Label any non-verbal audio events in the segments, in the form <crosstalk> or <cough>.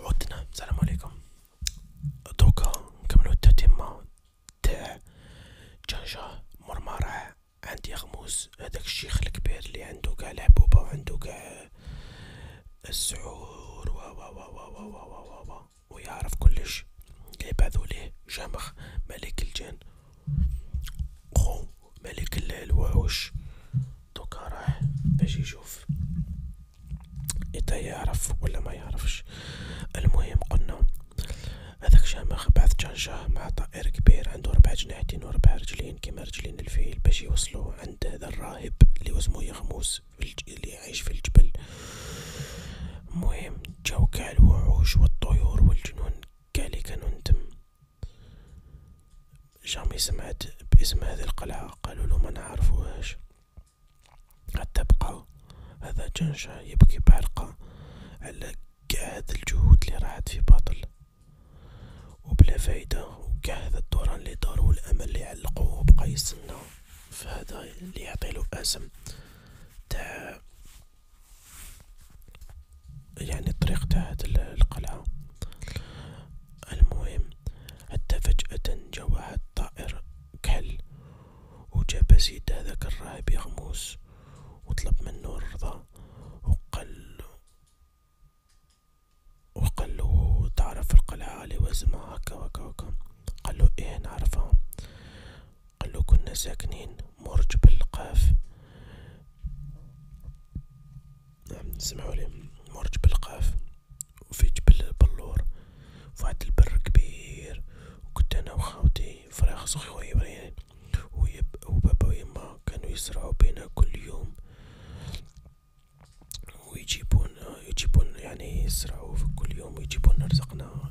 عدنا السلام عليكم دوكا نكملو التتمة تاع جنجة مرمرة عندي غموس هداك الشيخ الكبير اللي عندو قاع العبوبة وعندو قاع السعور و و و و و و و و و و ويعرف كلش يبعثو ليه جامخ ملك الجن خو ملك الوحوش دوكا راح باش يشوف اذا يعرف ولا ما يعرفش المهم قلنا هذاك شامخ بعث جانجاه مع طائر كبير عنده ربع جناحتين وربع رجلين كيما رجلين الفيل باش يوصلو عند هذا الراهب اللي وزمو يغموس اللي عايش في الجبل المهم جاو كاع الوحوش والطيور والجنون كاع اللي كانو ندم جامي سمعت باسم هذه القلعة قالوا له ما نعرفوهاش حتى بقى هذا جنشة يبكي بحلقة على قاع هاد الجهود اللي راحت في باطل وبلا فايدة وقاع هذا الدوران اللي دار والأمل اللي علقوه وبقى يستنى فهذا اللي يعطيلو اسم تاع يعني الطريق تاع هاد القلعة المهم حتى فجأة جا واحد طائر كحل وجاب سيد هذاك الراهب يغموس وطلب منو الرضا وقال وقال له تعرف القلعة اللي وزمها هكا وكا وكا قال له ايه نعرفها قالو كنا ساكنين مرج بالقاف نعم سمعوا لي مرج بالقاف وفي جبل بلور فواحد البر كبير وكنت انا وخاوتي فراخ صغي ويبرين وبابا ويما كانوا يزرعوا بينا كل يوم ويجيبون يجيبون يعني يزرعوا كل يوم ويجيبون رزقنا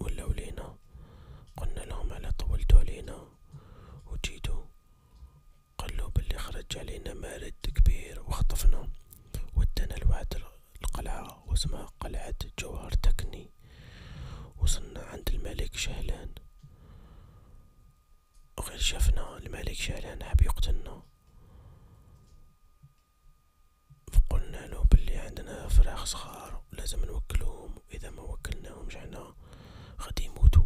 ولاو لينا قلنا لهم على طولتو علينا وجيتو قالو بلي خرج علينا مارد كبير وخطفنا ودانا لواحد القلعة واسمها قلعة جوهر تكني وصلنا عند الملك شهلان غير شافنا الملك شهلان حاب يقتلنا قلنا له بلي عندنا فراخ صغار لازم نوكلهم اذا ما وكلناهمش حنا غادي يموتو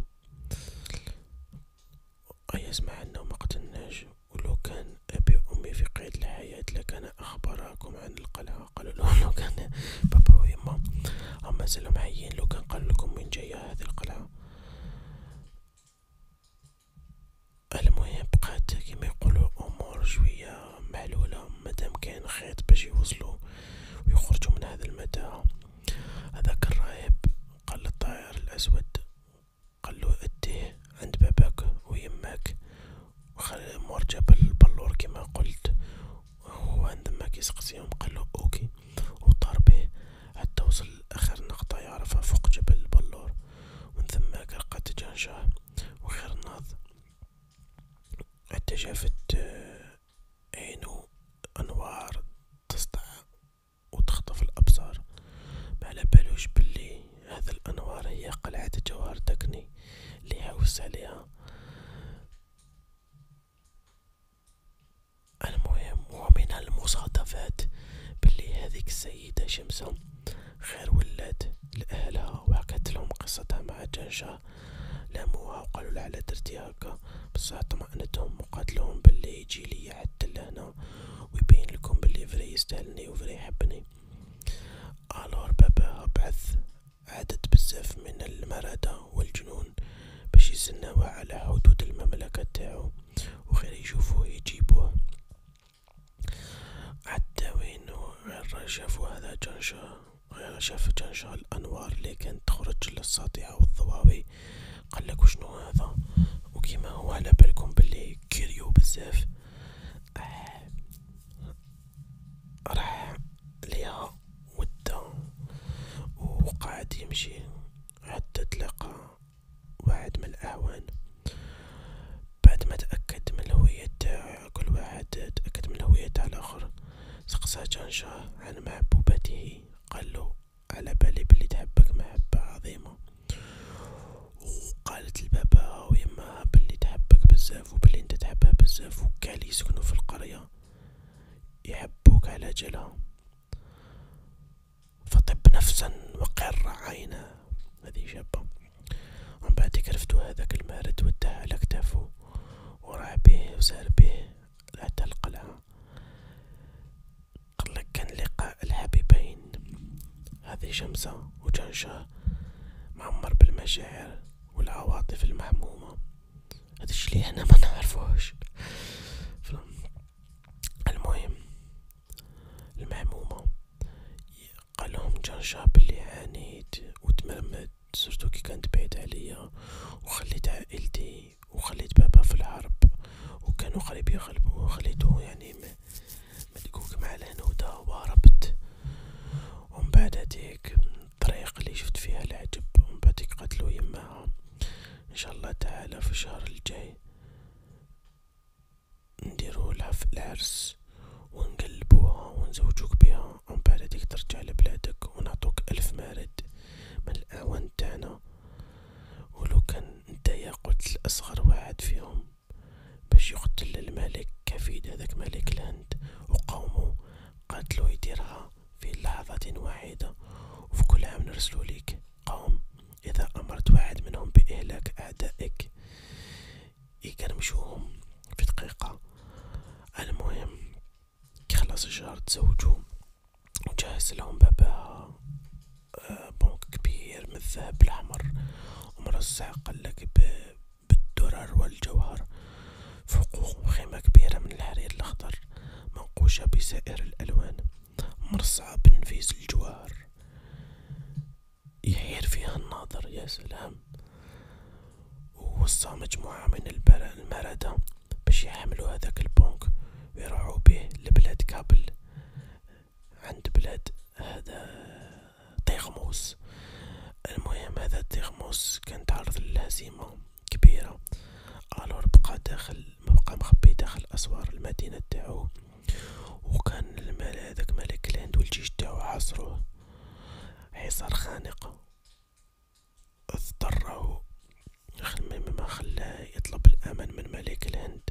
اي اسمع انه ما قتلناش ولو كان ابي امي في قيد الحياه لكان اخبراكم عن القلعه قالوا له <laughs> لو كان بابا و ويما اما مازالهم حيين لو كان قال لكم من جايه هذه القلعه المهم بقات كيما يقولو امور شويه معلوله مادام كاين خيط باش يوصلو ويخرجو من هذا المتاهه هذاك الراهب قال للطائر الاسود قالو اديه عند باباك ويماك وخلي مور جاب البلور كما قلت وهو عندما كيسقسيهم قالو اوكي وطار به حتى وصل لاخر نقطه يعرفها فوق جبل البلور ومن ثم لقى تجانشاه وخرناض حتى شافت آه، عينو انوار تسطع وتخطف الابصار معلبالوش بلي هذا الانوار هي قلعة جوهر دكني لي حوس عليها المهم ومن المصادفات بلي هذيك السيدة شمسة غير ولات لأهلها وحكت لهم قصتها مع جنشة لاموها وقالوا لها على درتي هكا بصح طمأنتهم وقالت لهم بلي يجي ليا حتى لهنا ويبين لكم بلي فري يستاهلني وفري يحبني الور باباها بعث عدد بزاف من المرادة والجنون باش يسناوه على حدود المملكة تاعو وغير يشوفوه يجيبوه حتى غير عداوين الرجف وهذا جنشة شاف جنشة الأنوار اللي كانت تخرج للساطعة والضواوي قالك وشنو هذا وكيما هو على بالكم بلي كيريو بزاف آه. راح ليها ودا وقعد يمشي حتى تلقى واحد من الأعوان بعد ما تأكد من الهوية تاعو كل واحد تأكد من الهوية تاع الآخر سقسا جانجاه عن محبوبته قالو على بالي بلي تحبك محبة عظيمة وقالت لباباها ويماها بلي تحبك بزاف وبلي انت تحبها بزاف وكاع لي يسكنو في القرية يحبوك على جلها فطب نفسا وقر عينا هذه شابة ومن بعدك رفدو هذاك المارد وده على كتافو وراح بيه وسار بيه حتى القلعة قالك كان لقاء الحبيبين هذه شمسة وجنشة معمر بالمشاعر والعواطف المحمومة هذا الشي اللي احنا ما نعرفوهش المهم المهمومة قالهم جان شاب اللي عانيت وتمرمت سورتو كي كانت بعيد عليا وخليت عائلتي وخليت بابا في الحرب وكانوا قريب يغلبوا وخليته يعني ملكوك مع الهنودة وهربت ومن بعد هاديك الطريق اللي شفت فيها العجب ومن بعد قتلو يماها ان شاء الله تعالى في الشهر الجاي نديرو لها في العرس و نقلبوها و نزوجوك بها و بعد هاديك ترجع لبلادك و نعطوك ألف مارد من الأعوان تاعنا و لو كان نتايا قتل أصغر واحد فيهم باش يقتل الملك كفيد هذاك ملك الهند و قومو قاتلو يديرها في لحظة واحدة و في كل عام نرسلو ليك قوم إذا أمرت واحد منهم بإهلاك أعدائك يكرمشوهم في دقيقة المهم كي خلاص الشهر تزوجو وجهز لهم باباها آه، بنك كبير من الذهب الأحمر ومرصع قلك بالدرر والجوهر فوقهم خيمة كبيرة من الحرير الأخضر منقوشة بسائر الألوان مرصعة بنفيس الجوار يحير فيها الناظر يا سلام ووصى مجموعة من المردة باش يحملوا هذاك البونك ويروحوا به لبلاد كابل عند بلاد هذا طيغموس المهم هذا طيغموس كان تعرض للهزيمة كبيرة الور بقى داخل مبقى مخبي داخل اسوار المدينة تاعو وكان المال هذاك ملك الهند والجيش تاعو عاصروه حصار خانق اضطره ما خلاه يطلب الامان من ملك الهند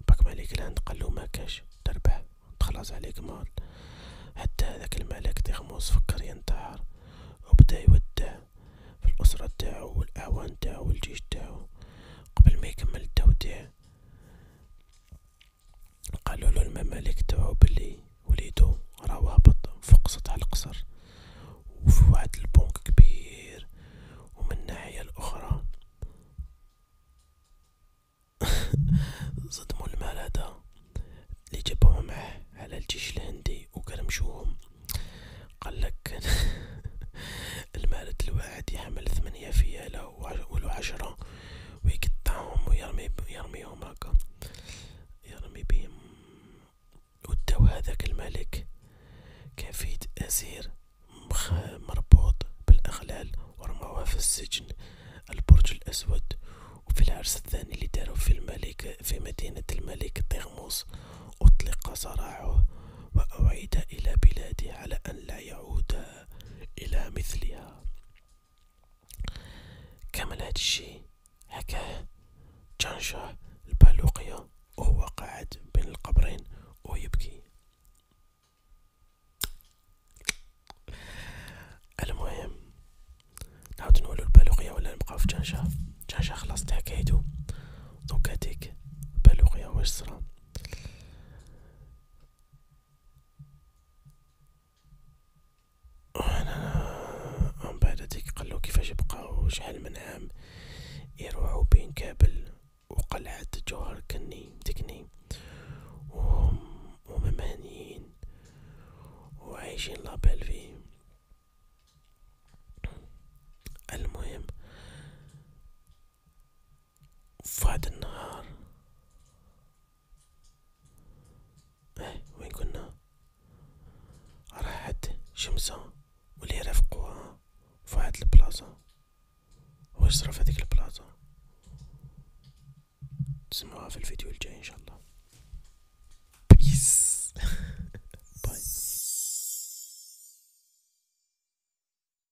وباك ملك الهند قالو كاش تربح تخلص عليك مال حتى هذاك الملك تغموس فكر ينتحر وبدا يودع في الأسرة تاعو والأعوان تاعو والجيش تاعو قبل ما يكمل التوديع قالولو الممالك تبعو بلي وليدو راه هابط فوق سطح القصر وفي واحد البنك كبير ومن الناحية الأخرى صدمو <laughs> المرضى لي جابوهم معاه على الجيش الهندي وكان مشوهم قالك <laughs> المرض الواحد يحمل ثمانية فيالة ولو عشرة ويقطعهم ويرمي يرميهم هكا يرمي بهم وداو هذاك الملك كان فيه أسير مخ مربوط بالأغلال ورموه في السجن البرج الأسود وفي العرس الثاني اللي دارو في الملك في مدينة الملك طغموس أطلق صراعه وأعيد إلى بلاده على أن لا يعود إلى مثلها كمل هاد الشي حكاه جانشاه البالوقية وهو قاعد بين القبرين ويبكي المهم نعاود نولو البالوقية ولا نبقاو في جانشاه جانشاه خلصت حكايتو دوكا ديك البالوقية واش صرا وهنا من بعد هاديك قالو كيفاش بقاو شحال من عام يروحو بين كابل وقلعة جوهر كني تكني وهم وهم هانيين وعايشين لابيل فيه المهم وفي النهار اه وين كنا راحت شمسة واللي رافقوها في هاد البلاصة واش صرا في البلاصة تسمعوها في الفيديو الجاي ان شاء الله بيس باي <laughs>